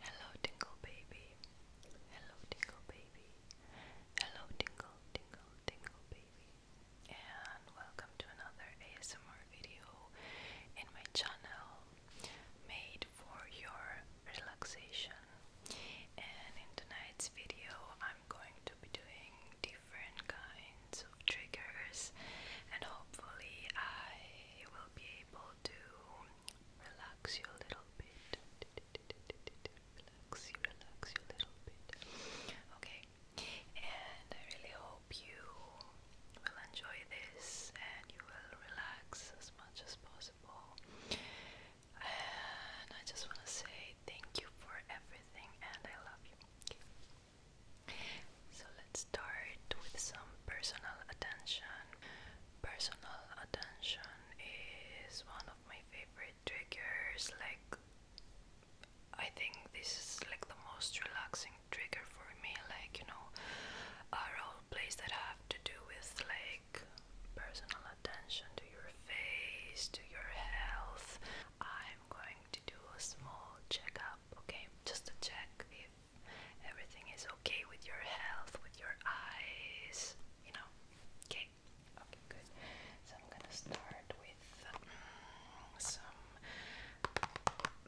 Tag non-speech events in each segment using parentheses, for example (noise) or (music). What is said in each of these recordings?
Hello, Tingle Baby. Hello, Tingle Baby. Hello, Tingle, Tingle, Tingle Baby. And welcome to another ASMR video in my channel made for your relaxation. And in tonight's video, I'm going to be doing different kinds of triggers, and hopefully, I will be able to relax you a little bit. Relax you, relax you a little bit. Okay, and I really hope you will enjoy this and you will relax as much as possible. And I just want to say thank you for everything, and I love you. So let's start with some personal attention. Personal attention is one of my favorite triggers. Like, I think this is like the most relaxing trigger for me. Like, you know, are all plays that have to do with like personal attention to your face, to your health. I'm going to do a small checkup, okay? Just to check if everything is okay with your health, with your eyes, you know. Okay, okay, good. So I'm gonna start with mm, some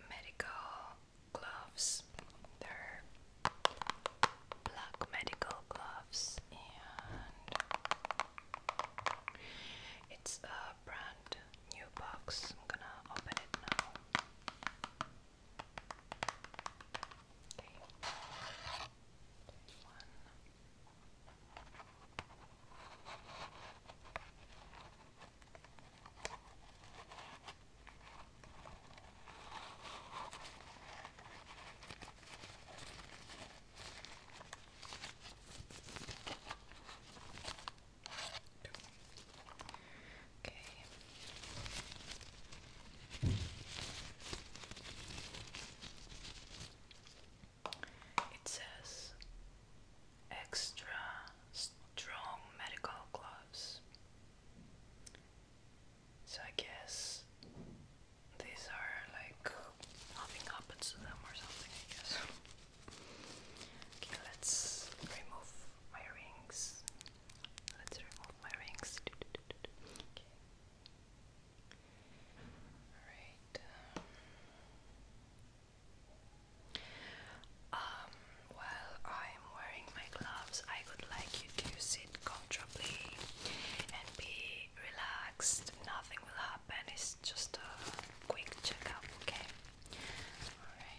medical gloves. They're black medical gloves, and it's a brand new box. I'm gonna open it now. Okay. There's one. Two Okay. It says extra strong medical gloves. So I guess these are like nothing happens to them or something, I guess. (laughs) okay, let's remove my rings. Let's remove my rings. Okay. Alright. Um, while I'm wearing my gloves, I would like you to sit comfortably and be relaxed. Nothing will happen. It's just a quick checkup, okay?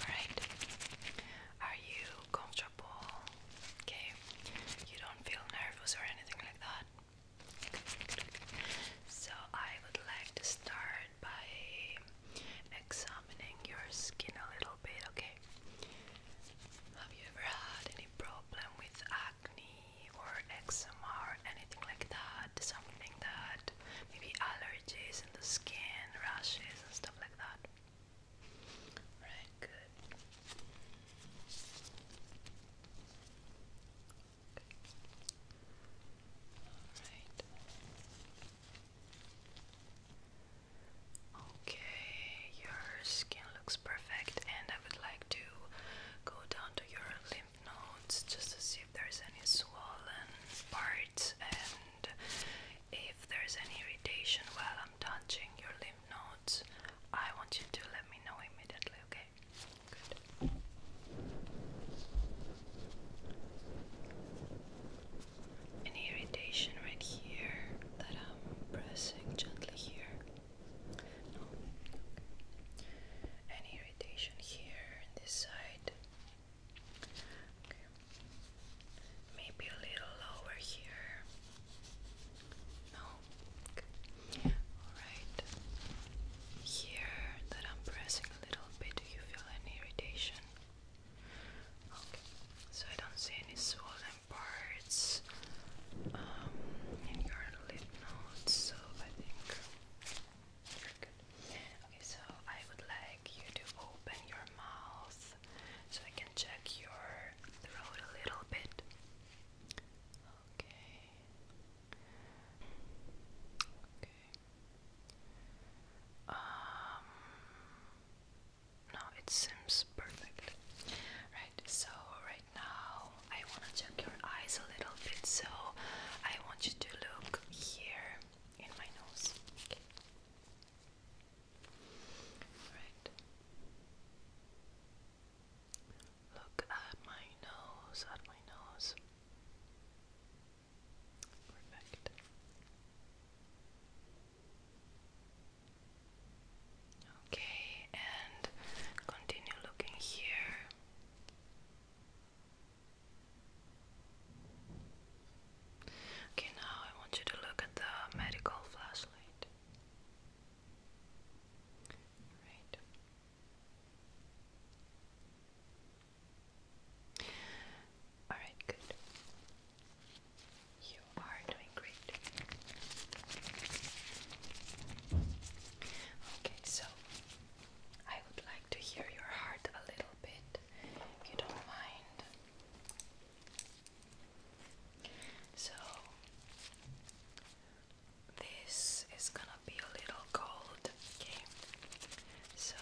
Alright, are you comfortable? Okay, you don't feel nervous or anything like that? So, I would like to start by examining your skin a little bit, okay? Have you ever had any problem with acne or eczema or anything like that? Something that maybe allergies in the skin, rashes and stuff like that? Alright, good. Alright. Okay, your skin looks perfect, and I would like to go down to your lymph nodes just to see if there's any swollen parts and if there's any irritation while I'm touching your lymph nodes. I want you to let me know immediately, okay? Good an irritation right here that I'm pressing gently here. No. An irritation here in this side. Maybe a little lower here. No. Alright. Here that I'm pressing a little bit, do you feel an irritation? Okay, so I don't see any swollen parts um, in your lip nodes, so I think you're good. Okay, so I would like you to open your mouth so I can check your throat a little bit. Okay. Okay. Um no, it seems perfect. Right, so right now I want to check your eyes a little bit, so I want you to look here in my nose. Okay. Right. Look at my nose, at my nose. Perfect. Okay, and continue looking here. Okay, now I want you to look at the medical flashlight. Right. Alright, good. You are doing great. Okay, so I would like to hear your heart a little bit, if you don't mind. So, this is gonna be a little cold, okay? so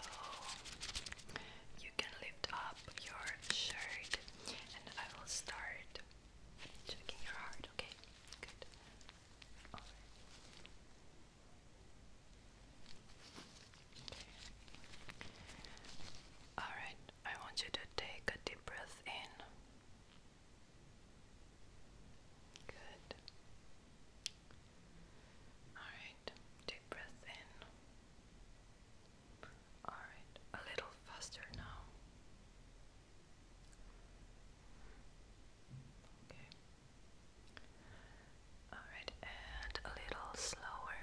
you can lift up your shirt and I will start checking your heart, okay? Good. All right. I want you to take a deep breath in. Good. All right. Deep breath in. Alright, a little faster now. Okay. Alright, and a little slower.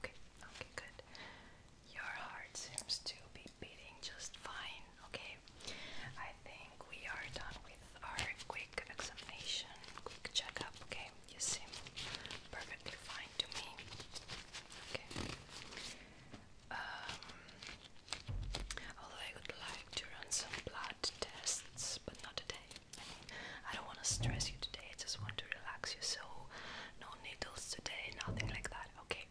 Okay, okay, good. Your heart seems to be beating just fine. Okay, I think we are done with our quick examination, quick checkup. Okay, you seem perfectly fine to me. Um, although I would like to run some blood tests, but not today. I don't want to stress you today. I just want to relax you. So, no needles today, nothing like that. Okay.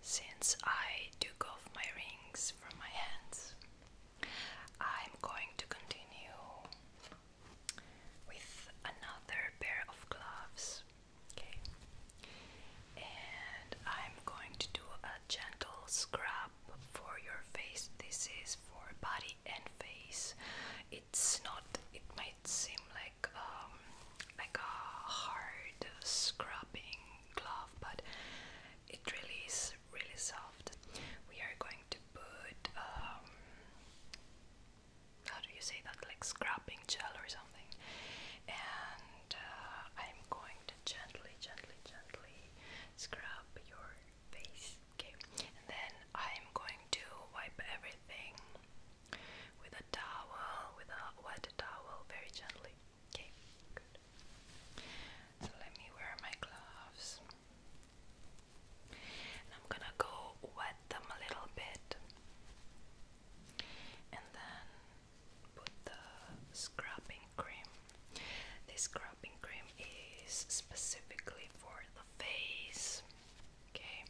Since I took off my rings from my hands, I'm going to continue with another pair of gloves. Okay, and I'm going to do a gentle scrub for your face. This is for body and face. It's not. It might seem like um, like a hard scrubbing glove, but it really is really soft. We are going to put um, how do you say that? Like scrubbing gel or something, and uh, I'm going to gently, gently, gently scrub your face. Okay, then I'm going to wipe everything with a towel, with a wet towel, very gently. Okay, So let me wear my gloves. I'm gonna go wet them a little bit and then put the scrubbing cream. This scrubbing cream is specifically for the face. Okay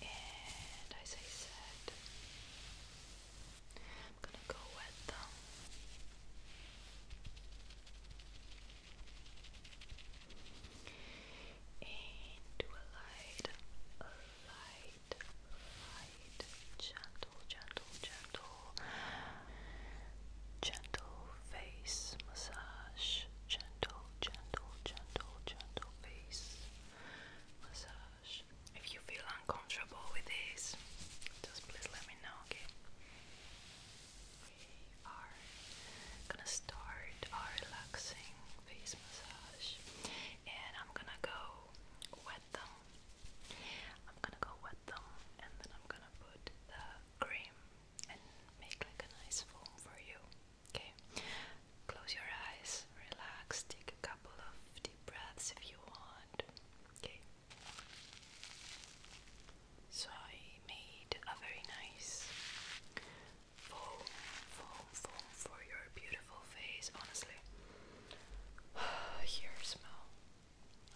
and as I said, I'm gonna go wet them. And a light, a light, light, gentle, gentle, gentle, gentle face massage, gentle, gentle, gentle, gentle or face massage. If you feel uncomfortable with this, just please let me know, okay? We are gonna start our relaxing face massage and I'm gonna go wet them. I'm gonna go wet them and then I'm gonna put the cream and make like a nice foam for you. Okay, close your eyes, relax, take a couple of deep breaths if you want. Okay, so I made a very nice foam, foam, foam for your beautiful face, honestly. (sighs) Here, smell.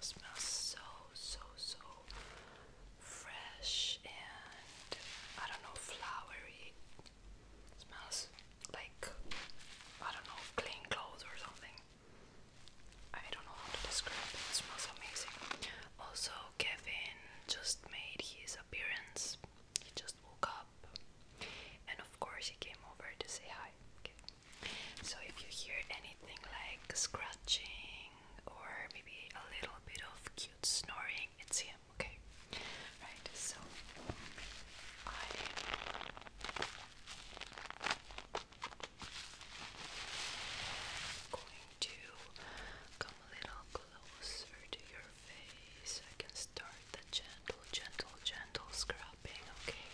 smells so, so, so fresh and I don't know, flowery. smells like I don't know, clean clothes or something. I don't know how to describe it. smells amazing. Also, Kevin just made his appearance. He just woke up, and of course, he came over to say hi. Okay. So if you hear anything like scratching or maybe a little bit of cute snoring, it's him. Okay. Right. So I am going to come a little closer to your face. I can start the gentle, gentle, gentle scrubbing. Okay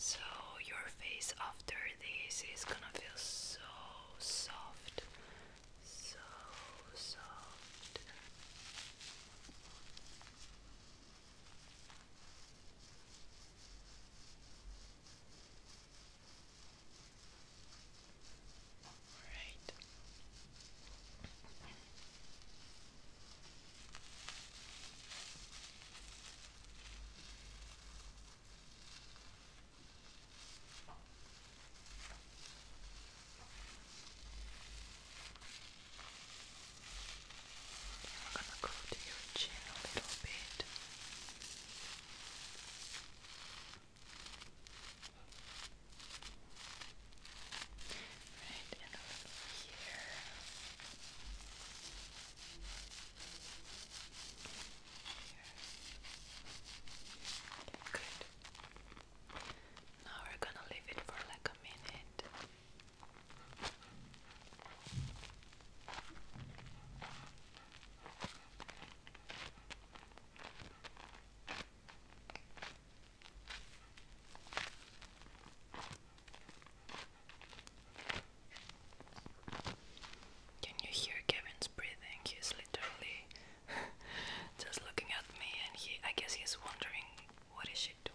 so your face after this is gonna feel so so soft, so soft. All right. I'm going to go to your chin a little bit. Right, and over here. Good. Now we're gonna leave it for like a minute. Can you hear Kevin's breathing? He's literally (laughs) just looking at me and he I guess he's wondering what is she doing?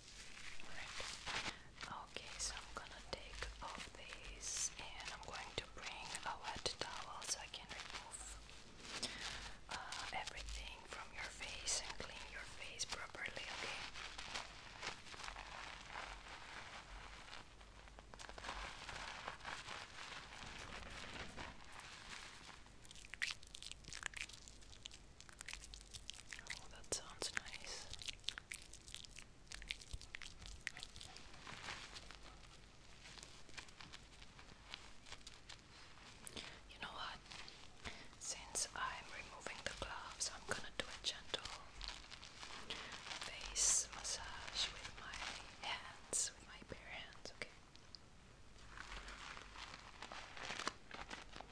Okay, so I'm gonna take off these and I'm going to bring a wet towel so I can remove uh, everything from your face and clean your face properly, okay? Oh, that sounds nice. You know what? Since I'm removing the gloves, I'm gonna do a gentle face massage with my hands, with my bare hands, okay?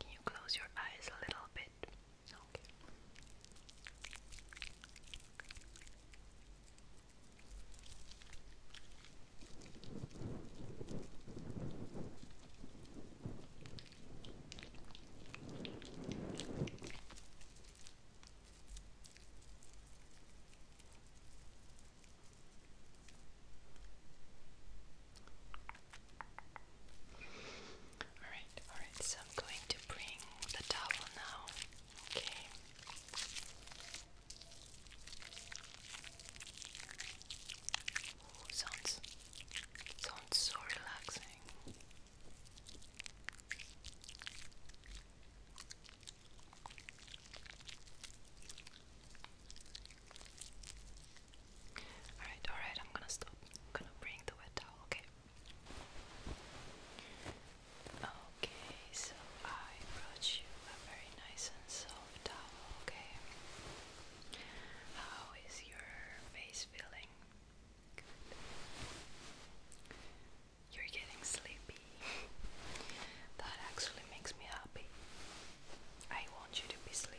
Can you close your eyes a little bit? Okay. All right, all right, so I'm going to bring the towel now Okay. Ooh, sounds sounds so relaxing. Alright, alright, I'm gonna stop. I'm gonna bring the wet towel, okay? Okay, so I brought you a very nice and soft towel, okay? How is your face feeling? You're getting sleepy. that actually makes me happy. I want you to be sleepy.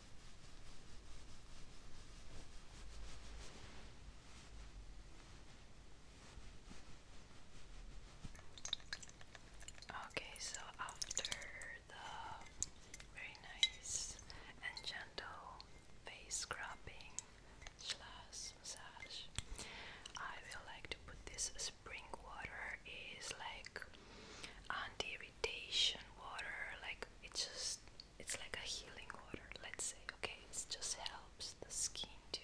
Okay, so after the very nice and gentle face scrubbing slash massage, I will like to put this spring water is like anti-irritation water, like it's just it's like a healing water, let's say, okay? It just helps the skin to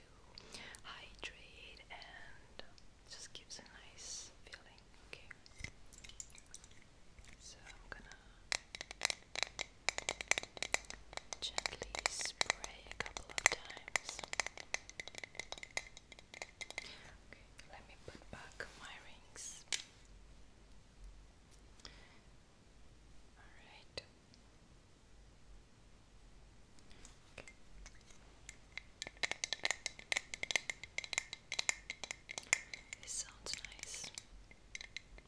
hydrate and just gives a nice feeling, okay? So I'm gonna gently spray a couple of times. Okay, let me put back my rings. All right. This sounds nice. All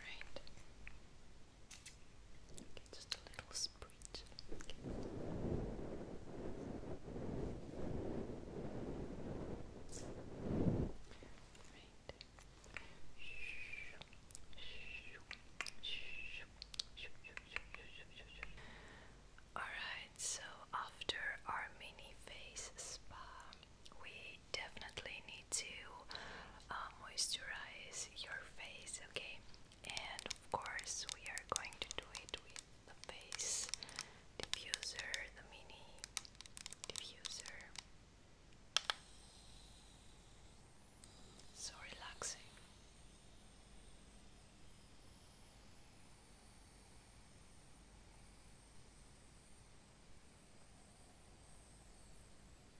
right. Okay, just a little spritz. Okay. Right. Alright, so after our mini face spa, we definitely need to uh, moisturize your face, okay? And of course, we are going to do it with the face diffuser, the mini diffuser. So relaxing.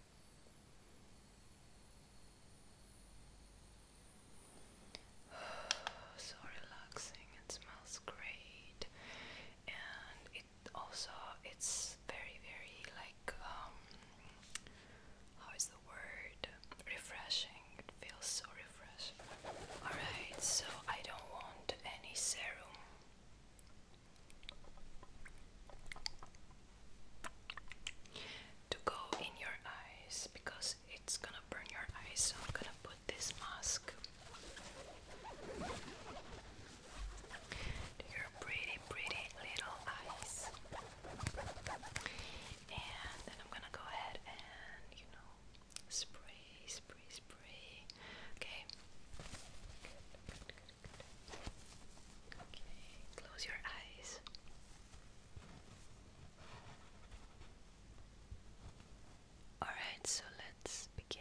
(sighs) so relaxing it smells great and it also it's very very like um how is the word refreshing it feels so refreshing all right so i don't want any serum to go in your eyes because it's gonna burn your eyes. So I'm gonna put this mask to your pretty, pretty little eyes, and then I'm gonna go ahead and you know spray, spray, spray. Okay. Okay, close your eyes. Alright, so let's begin.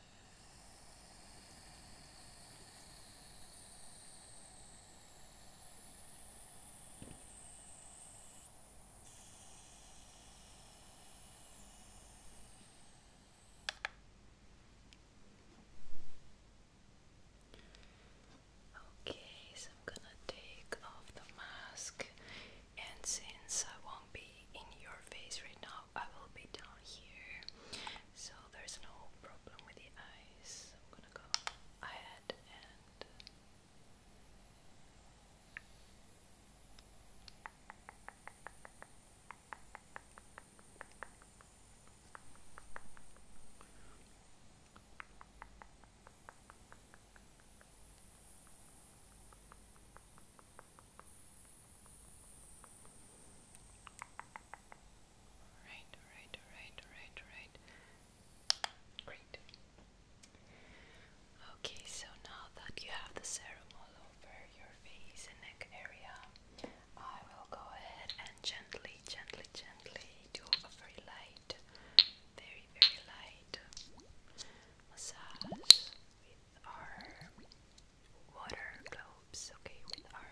Okay, so I'm gonna take off the mask, and since I won't be in your face right now, I will be down here, so there's no problem with the eyes. I'm gonna go ahead and Right, right, right, right, right. Great. Okay, so now that you have the serum all over your face and neck area, I will go ahead and gently, gently, gently do a very light, very, very light massage our water globes, okay, with our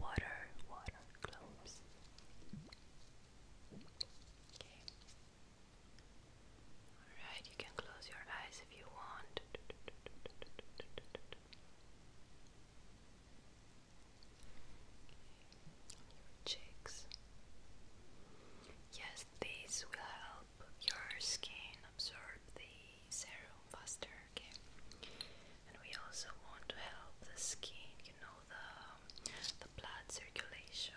water, water globes. Okay. Alright, you can close your eyes if you want. Your cheeks. Yes, these will help your skin absorb the serum faster, okay? And we also want to help the skin, you know, the um, the blood circulation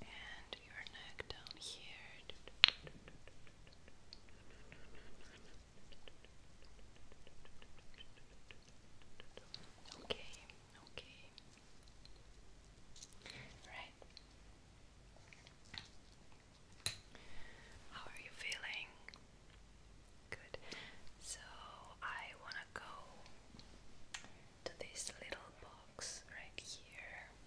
and your neck down here. Okay, okay. Right. How are you feeling? Good. So I want to go to this little box right here.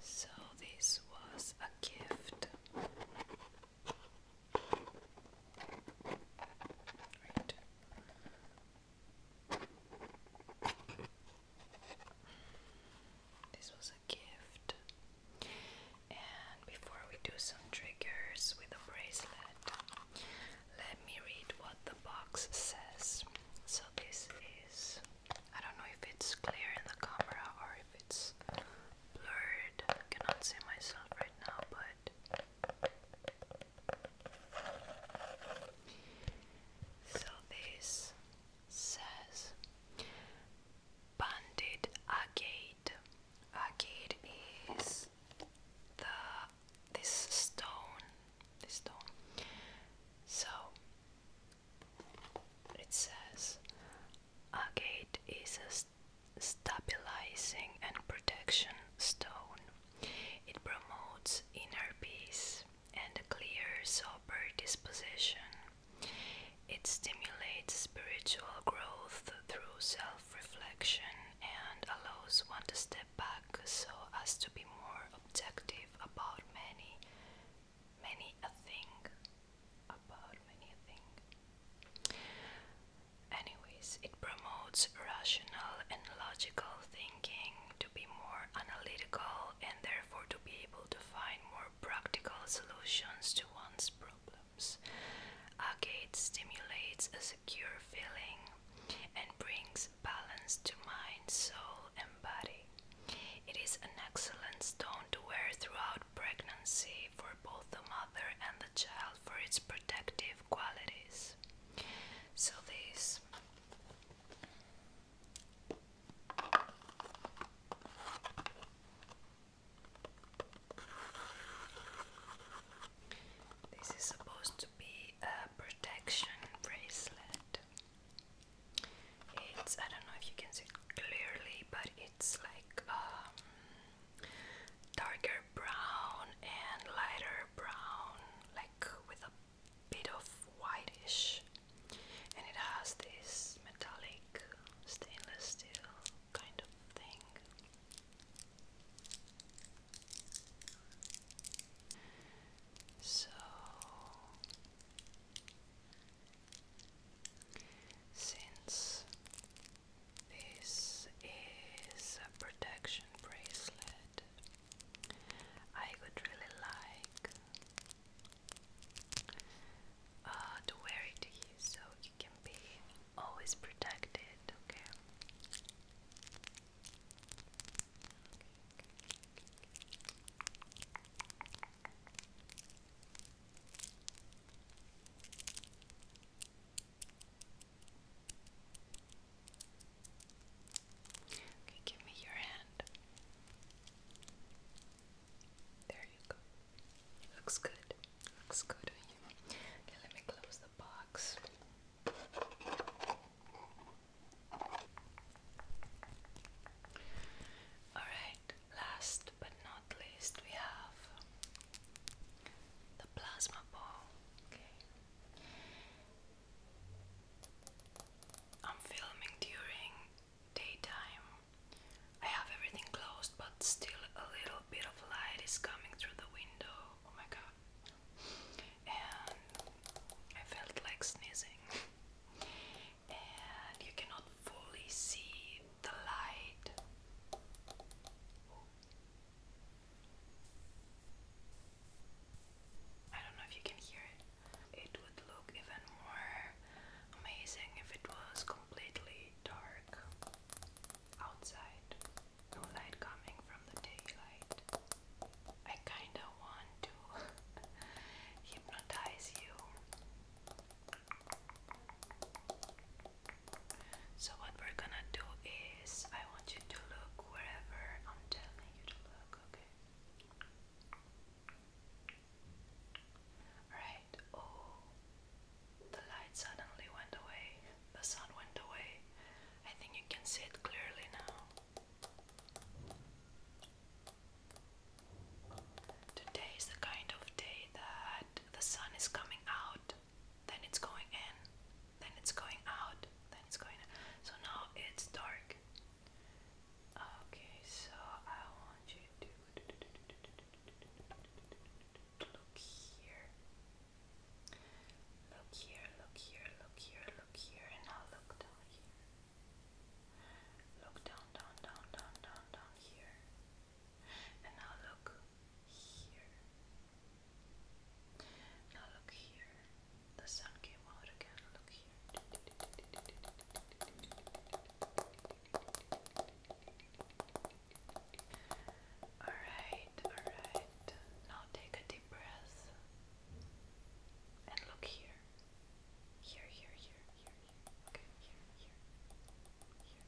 So, this was a gift. This was a gift. And before we do some triggers with a bracelet, let me read what the box says. So, this is I don't know if it's clear in the camera or if it's blurred. I cannot see myself right now, but so this says Banded Agate. Agate is the this stone. This stone. So it says agate is a stabilizing and protection stone. It promotes inner peace and a clear, sober disposition. It stimulates spiritual growth through self reflection and allows one to step back so as to be more objective about many many a thing about many a thing. Anyways, it promotes rational and logical thinking to be more analytical and therefore to be able to find more practical solutions to one's problems. Agate stimulates a secure feeling and brings balance to mind, soul, and it is an excellent stone to wear throughout pregnancy for both the mother and the child for its protective qualities. So, this. This is supposed to be a protection bracelet. It's I don't know if you can see it clearly, but it's like um, darker brown and lighter brown, like with a bit of whitish, and it has this metallic stainless steel kind of thing. So since this is a protection bracelet, I would really like uh, to wear it to you so you can be always protected, okay. Okay, give me your hand. There you go. Looks good. Looks good on you. Okay, let me close the box. Alright, last but not least, we have the plasma ball. I'm filming during daytime. I have everything closed, but still a little bit of light is coming through the window. Oh my god. And I felt like sneezing and you cannot fully see the light. I don't know if you can hear it. It would look even more amazing if it was completely dark outside. No light coming from the daylight. I kinda do want to hypnotize you. So, what we're gonna do is, I want you to look wherever I'm telling you to look, okay? Alright, oh, the light suddenly went away, the sun went away. I think you can see it clearly now. Today is the kind of day that the sun is coming out, then it's going in, then it's going out, then it's going in. So now it's dark. Okay, so I want you to look here. Look here, look here, look here, look here, and now look down here. Look down, down, down, down, down, down here. And now look here. Now look here. The sun came out again. Look here. Alright, alright. Now take a deep breath and look here. Here, here, here, here, here. Okay, here, here, here.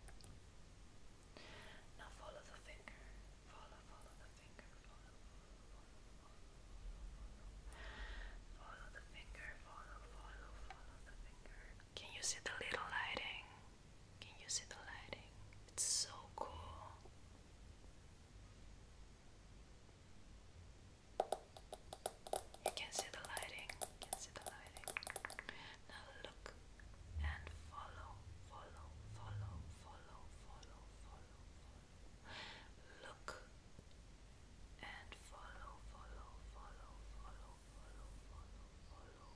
Now follow the finger. Follow, follow the finger. follow, follow. Follow the finger. Follow, follow, follow the finger. Can you see the little lighting? Can you see the lighting? It's so cool. You can see the lighting, you can see the lighting. Now look and follow, follow, follow, follow, follow, follow, follow. Look and follow, follow, follow, follow, follow, follow,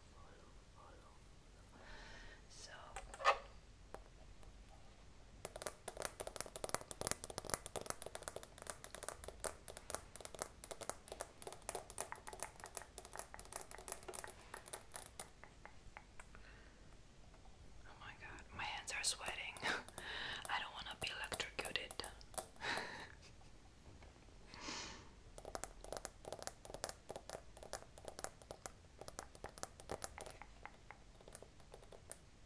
follow, follow, follow. So Oh my god, my hands are sweating. (laughs) I don't want to be electrocuted.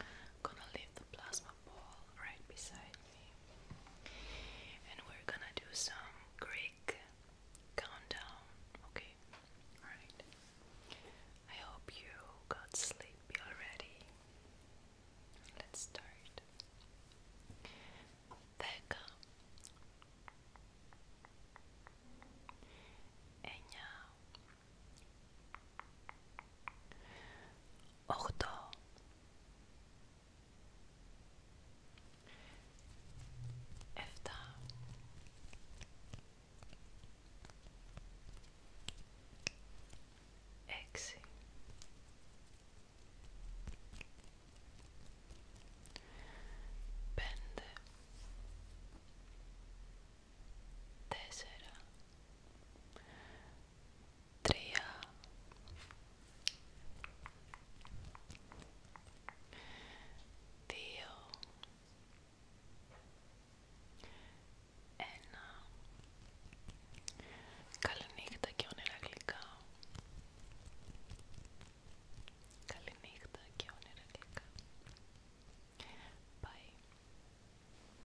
I'm gonna leave the plasma ball right beside me, and we're gonna do some Greek countdown. Okay, all right. I hope you got sleepy already. Let's start. Δέκα, εννιά, Οχτώ. Εφτά. Έξι. Πέντε. Τέσσερα τρία δύο ένα Καληνύχτα και όνειρα γλυκά Καληνύχτα και όνειρα γλυκά Bye